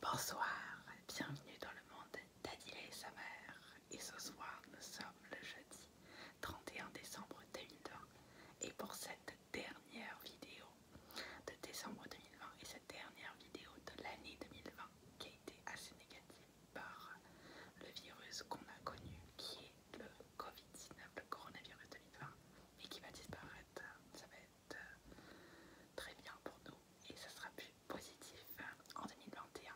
Bonsoir, bienvenue dans le monde d'Adila et sa mère. Et ce soir, nous sommes le jeudi 31 décembre 2020. Et pour cette dernière vidéo de décembre 2020 et cette dernière vidéo de l'année 2020 qui a été assez négative par le virus qu'on a connu qui est le Covid-19, le coronavirus 2020, et qui va disparaître très bien pour nous et ce sera plus positif hein, en 2021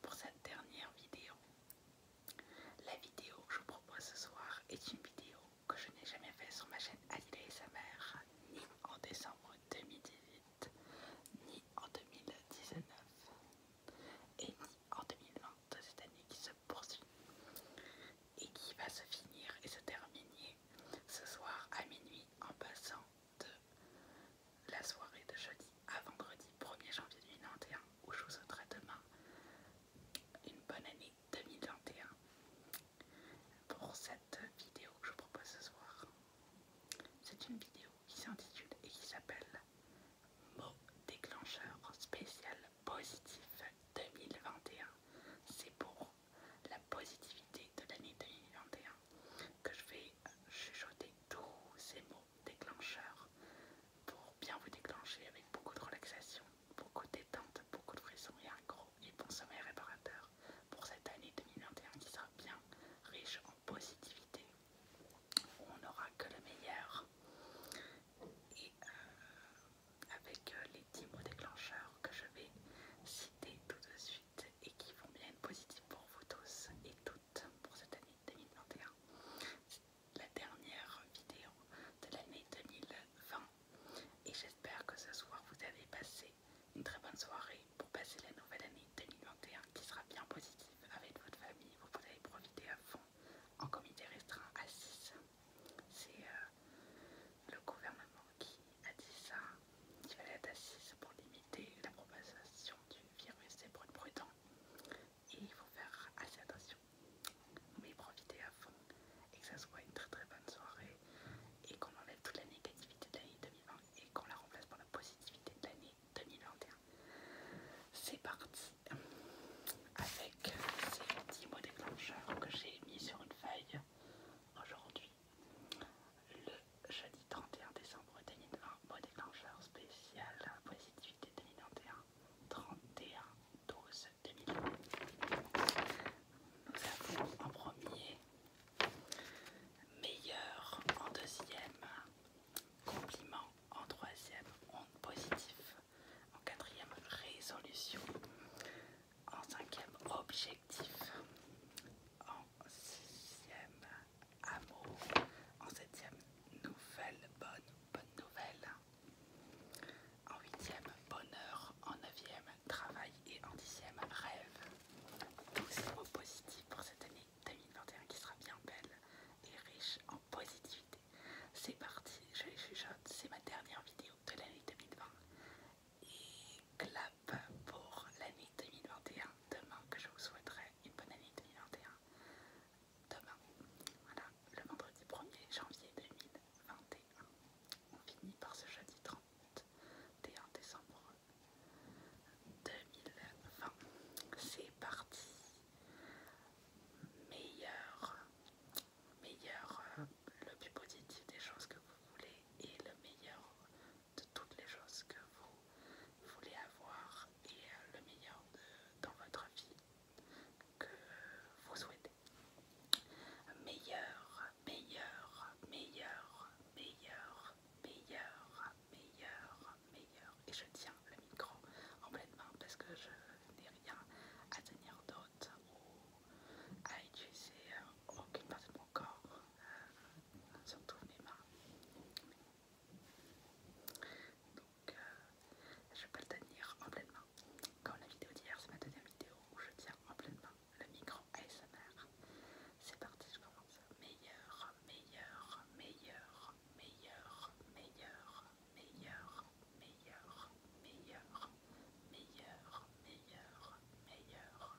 pour cette dernière vidéo. La vidéo que je vous propose ce soir est une vidéo que je n'ai jamais faite sur ma chaîne Adila et sa mère, ni en décembre 2018, ni en 2019, et ni en 2020, cette année qui se poursuit et qui va se finir et se terminer ce soir à minuit en passant de la soirée de jeudi à vendredi 1er janvier 2021 où je vous souhaiterai demain une bonne année 2021 pour cette vidéo que je propose ce soir. C'est une vidéo qui s'intitule et qui s'appelle mot déclencheur spécial positif 2021. C'est pour la positivité de l'année 2021 que je vais chuchoter tous ces mots déclencheurs pour bien vous déclencher avec beaucoup de relaxation, beaucoup de détente, beaucoup de frissons et un gros et bon sommeil réparateur pour cette année 2021 qui sera bien riche en positivité. On n'aura que le meilleur et euh, avec euh, les 10 mots déclencheurs que je vais citer tout de suite et qui vont bien être positifs pour vous tous et toutes pour cette année 2021. La dernière vidéo de l'année 2020 et j'espère que ce soir vous avez passé une très bonne soirée pour passer la nouvelle année 2021 qui sera bien positive avec votre famille. Vous pouvez profiter à fond en comité restreint à 6. C'est euh, le gouvernement qui a dit ça, qui fallait être assise pour limiter la propagation du virus et pour être prudent. Et il faut faire assez attention, mais profiter à fond et que ça soit une très très bonne soirée et qu'on enlève toute la négativité de l'année 2020 et qu'on la remplace par la positivité de l'année 2021. C'est parti avec ces petits mots déclencheurs que j'ai mis sur une feuille aujourd'hui. Le jeudi 31 décembre, 2020, pour déclencheur spécial positivité 2021 31 12 2020. Nous avons en premier meilleur en deuxième, compliment en troisième, onde positif en quatrième, résolution en cinquième objectif, en sixième amour, en septième nouvelle bonne bonne nouvelle, en huitième bonheur, en neuvième travail et en dixième rêve. Tous ces mots positifs pour cette année 2021 qui sera bien belle et riche en positivité. C'est parti, je les chuchote, c'est ma dernière vidéo de l'année 2020 et clap pour l'année 2021 demain que je vous souhaiterais une bonne année 2021 demain voilà le vendredi 1er janvier 2021 on finit par ce jeudi 31 décembre 2020 c'est parti meilleur meilleur euh, le plus positif des choses que vous voulez et le meilleur de toutes les choses que vous voulez avoir et euh, le meilleur dans votre vie que vous souhaitez. Meilleur, meilleur, meilleur, meilleur, meilleur, meilleur, meilleur. Et je tiens le micro en pleine main parce que je n'ai rien à tenir d'autre à utiliser aucune partie de mon corps, surtout mes mains. Donc, je peux vais le tenir en pleine main. Comme la vidéo d'hier, c'est ma deuxième vidéo où je tiens en pleine main le micro ASMR. C'est parti, je commence. Meilleur, meilleur, meilleur, meilleur, meilleur, meilleur, meilleur, meilleur, meilleur, meilleur, meilleur,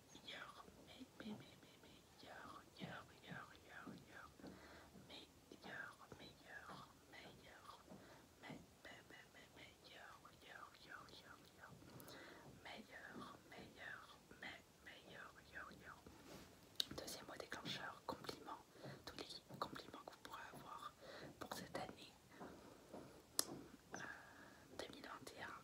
meilleur, meilleur, meilleur, meilleur, meilleur, meilleur, meilleur, meilleur, meilleur, meilleur, meilleur, meilleur, meilleur, meilleur, meilleur. meilleur, meilleur, meilleur meilleur, Deuxième mot déclencheur, meilleur tous les compliments que vous pourrez avoir pour cette année. 2021 euh,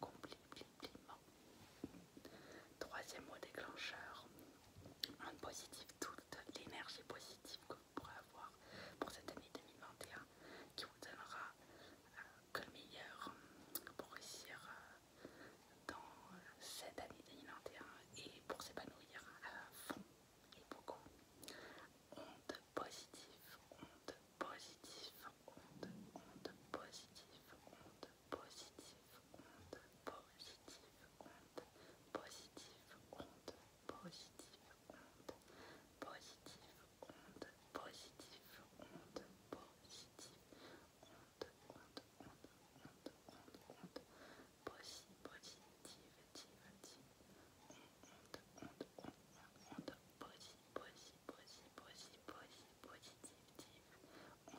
compliment. Troisième mot déclencheur, onde positive, toute l'énergie positive que vous pourrez avoir pour cette année 2021 qui vous donnera euh, que le meilleur euh, pour réussir euh, dans cette année 2021 et pour s'épanouir à fond et beaucoup. Onde positive, onde positive, onde, positive, positive, honte, positive, honte, positive, honte, positive, honte, positive, honte, positive, honte, positive, positive, positive,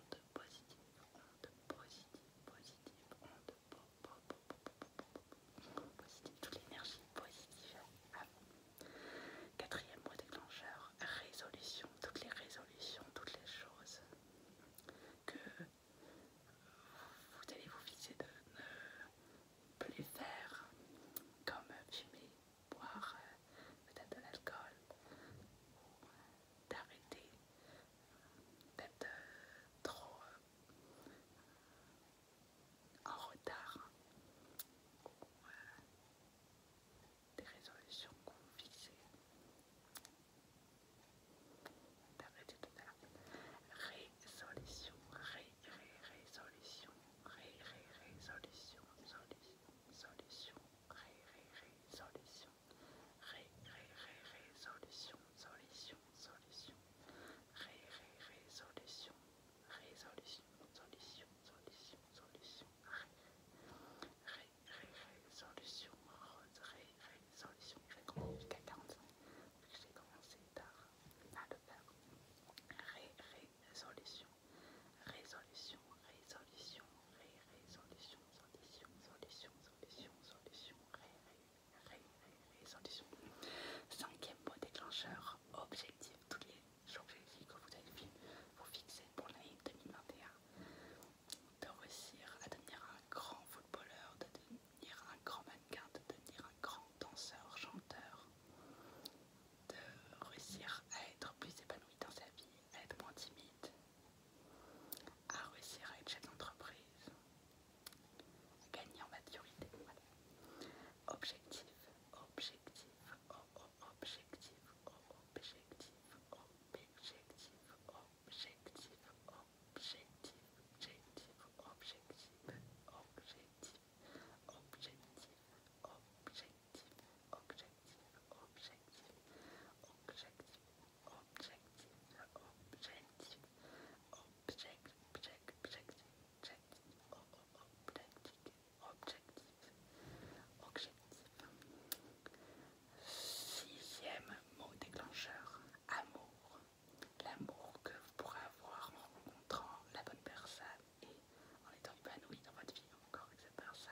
te positive, positif positive, positive, positif positive, toute l'énergie positive Quatrième mot déclencheur, résolution, toutes les résolutions, toutes les choses que vous allez vous fixer de ne plus faire, comme fumer, boire, euh, peut-être de l'alcool, euh, d'arrêter d'être euh, trop euh, en retard euh, des résolutions qu'on fixait. D'arrêter de faire résolution, ré, ré, résolution, ré, ré, résolution, solution, solution, ré, ré, résolution, ré, ré, ré, ré solution, solution, ré, ré, solution, résolution, solution, solution, solution, ré, ré, ré, solution, ré, résolution, solution, j'ai commencé tard à le faire, ré, ré, résolution, résolution, résolution, résolution, résolution, résolution, solution, solution, résolution, résolution. Cinquième mot déclencheur, objectif, tous les objectifs que vous avez vu, vous fixer pour l'année 2021. De réussir à devenir un grand footballeur, de devenir un grand mannequin, de devenir un grand danseur, chanteur, de réussir à être plus épanoui dans sa vie, à être moins timide réussir à être chef d'entreprise, gagner en maturité. Oh, oh, oh, objectif, objectif, objectif, objectif, objectif, objectif, objectif, objectif, objectif, objectif, objectif, objectif objectif, objectif, objectif, objectif, objectif, objectif, objectif, objectif, objectif, Sixième mot déclencheur, amour. L'amour que vous pourrez avoir en rencontrant la bonne personne et en étant épanoui dans votre vie, encore avec cette personne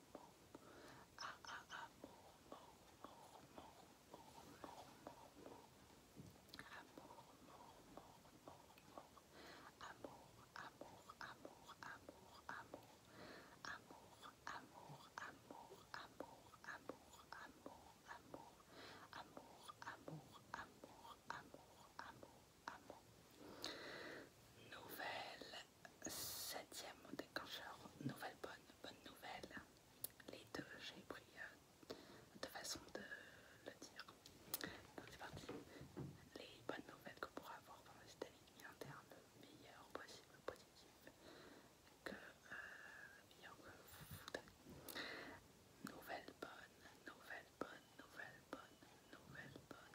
amour, amour, amour, amour, amour, amour, amour, nouvelle septième déclencheur, nouvelle bonne, bonne nouvelle. Les deux, j'ai pris euh, de façon de le dire. Donc c'est parti. Les bonnes nouvelles qu'on pourra avoir pendant cette année interne, meilleure possible, positive, que euh, que Nouvelle bonne, nouvelle bonne, nouvelle bonne, nouvelle bonne,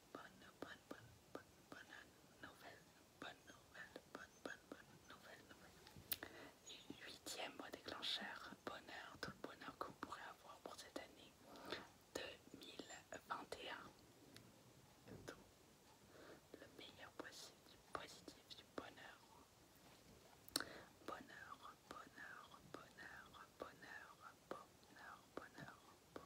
bonne, bonne, bonne, bonne, bonne nouvelle, bonne nouvelle, bonne, bonne, bonne nouvelle, nouvelle. huitième mot déclencheur, bonheur, tout le bonheur que vous pourrez avoir pour cette année 2021. le meilleur possible du positif, du bonheur. Bonheur, bonheur, bonheur, bonheur, bonheur, bonheur, bonheur,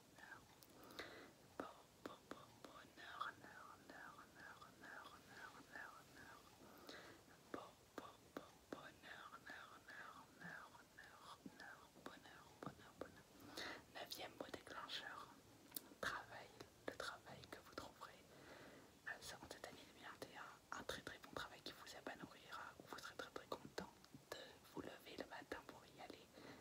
Bonheur Neuvième mot déclencheur. Travail, le travail que vous trouverez en cette année 2021. Un très très bon travail qui vous épanouira, vous serez très très content de vous lever le matin pour y aller.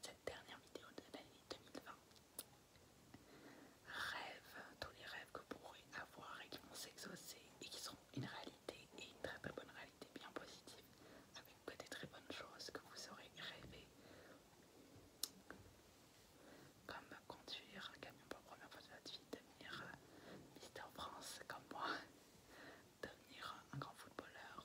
cette dernière vidéo de l'année 2020. Rêve, tous les rêves que vous pourrez avoir et qui vont s'exaucer et qui seront une réalité et une très très bonne réalité bien positive avec des très bonnes choses que vous aurez rêvé. Comme conduire un camion pour la première fois de votre vie, devenir euh, Mister France comme moi, devenir un grand footballeur,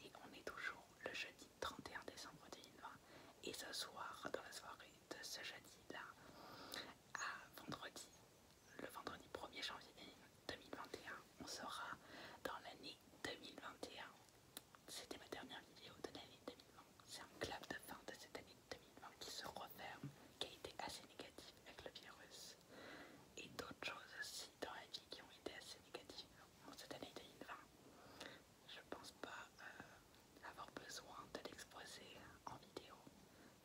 et on est toujours le jeudi 31 décembre 2020. Et ce soir, dans la soirée de ce jeudi-là, à vendredi, le vendredi 1er janvier 2021, on sera dans l'année 2021. C'était ma dernière vidéo de l'année 2020. C'est un clap de fin de cette année 2020 qui se referme, qui a été assez négatif avec le virus. Et d'autres choses aussi dans la vie qui ont été assez négatif. cette année 2020, je pense pas euh, avoir besoin de l'exposer en vidéo.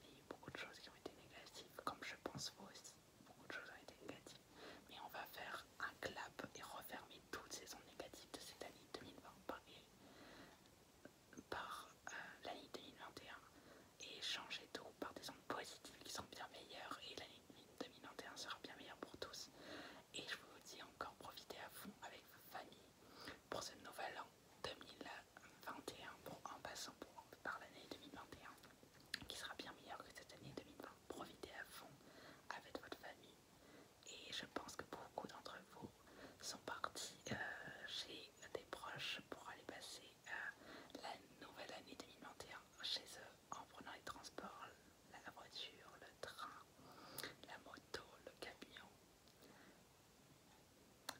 Il y a eu beaucoup de choses qui ont été négatives, comme je pense vous aussi. Beaucoup de choses ont été négatives. Mais on va faire un clap et refermer toutes ces ondes négatives de cette année 2020 par, euh, l'année 2021 et changer tout par des ondes positives qui sont bien meilleures et l'année 2021 sera bien meilleure pour tous. Et je vous dis encore profitez à fond avec vos familles pour ce nouvel an 2021, en passant par l'année 2021 qui sera bien meilleure que cette année 2020. Profitez à fond avec votre famille et je pense que beaucoup d'entre vous sont partis euh, chez des proches pour aller passer euh, la nouvelle année 2021 chez eux en prenant les transports, la voiture, le train, la moto, le camion,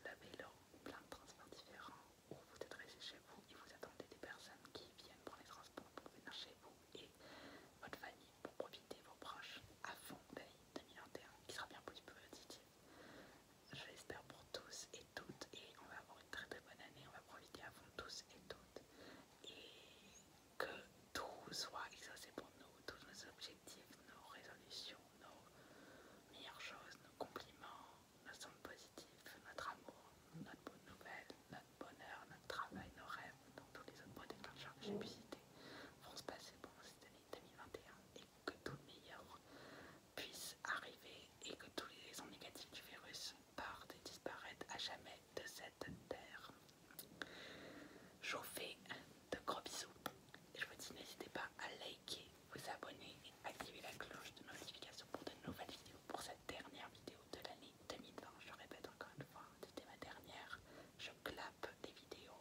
le vélo, plein de transports différents, où vous êtes resté chez vous et vous attendez des personnes qui viennent prendre les transports pour venir chez vous et votre famille pour profiter vos proches à fond veille 2021 qui sera bien plus positif. Je l'espère pour tous et toutes et on va avoir une très très bonne année, on va profiter à fond tous et toutes et que tout soit, et ça pour nous, tous nos objectifs, nos résolutions, nos meilleures choses, nos compliments, nos sommes positifs, notre amour, notre bonne nouvelle, notre bonheur, notre travail, nos rêves, donc tous les autres de choses que j'ai pu vont se passer pour cette année 2021 et que tout le meilleur puisse arriver et que tous les raisons négatifs du virus part et disparaître à jamais de cette terre. Je vous fais de gros bisous. Je vous dis n'hésitez pas à liker, vous abonner et activer la cloche de notification pour de nouvelles vidéos. Pour cette dernière vidéo de l'année 2020, je répète encore une fois, c'était ma dernière. Je clappe des vidéos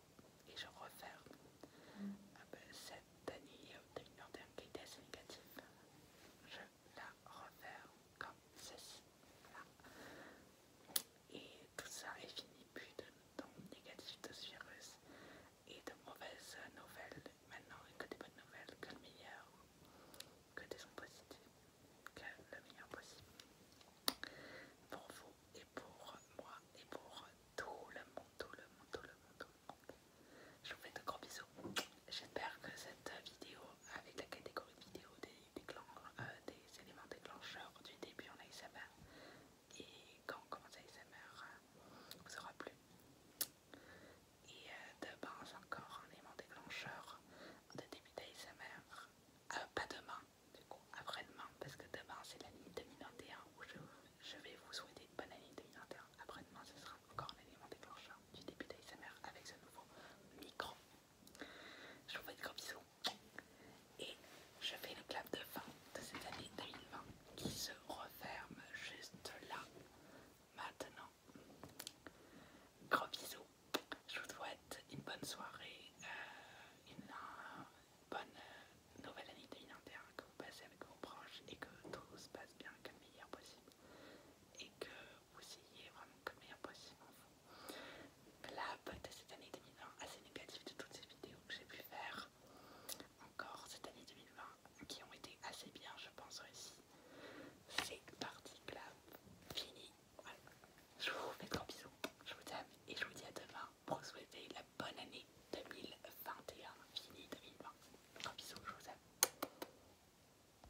et je referme ah ben, cette année 2021 qui était assez négative la refaire comme ceci. Et tout ça est fini, plus de temps négatif de ce virus et de mauvaises nouvelles. Maintenant, que des bonnes nouvelles, que le meilleur, que des positifs, que le meilleur possible. Pour vous et pour moi et pour tout le monde, tout le monde, tout le monde, tout le monde. Je vous fais de gros bisous. J'espère que cette vidéo, avec la catégorie vidéo des, euh, des, éléments déclencheurs du début en ASMR et quand on commence ASMR, euh, vous aura plu. Et euh, demain c'est encore un élément déclencheur de début d'ASMR. pas demain, du coup, après-demain, parce que demain c'est l'année 2021 où je, je vais vous souhaiter une bonne année 2021. Après-demain, ce sera encore un élément déclencheur du début d'ASMR avec ce nouveau micro. Je vous fais des gros bisous et je fais le clap de fin de cette année 2020 qui se referme juste là maintenant. Gros bisous, je vous souhaite une bonne soirée, euh, une, euh, bonne euh, nouvelle année 2021, que vous passez avec vos proches et que tout se passe bien, comme meilleur possible et que vous ayez vraiment que le meilleur possible en vous. Club de cette année 2020 assez négative de toutes ces vidéos que j'ai pu faire encore cette année 2020 qui ont été assez bien je pense aussi C'est parti clap, fini. Voilà. Je vous fais de bisou, bisous, je vous aime et je vous dis à demain pour vous souhaiter la bonne année 2021. Fini 2020. Grand bisous, je vous aime.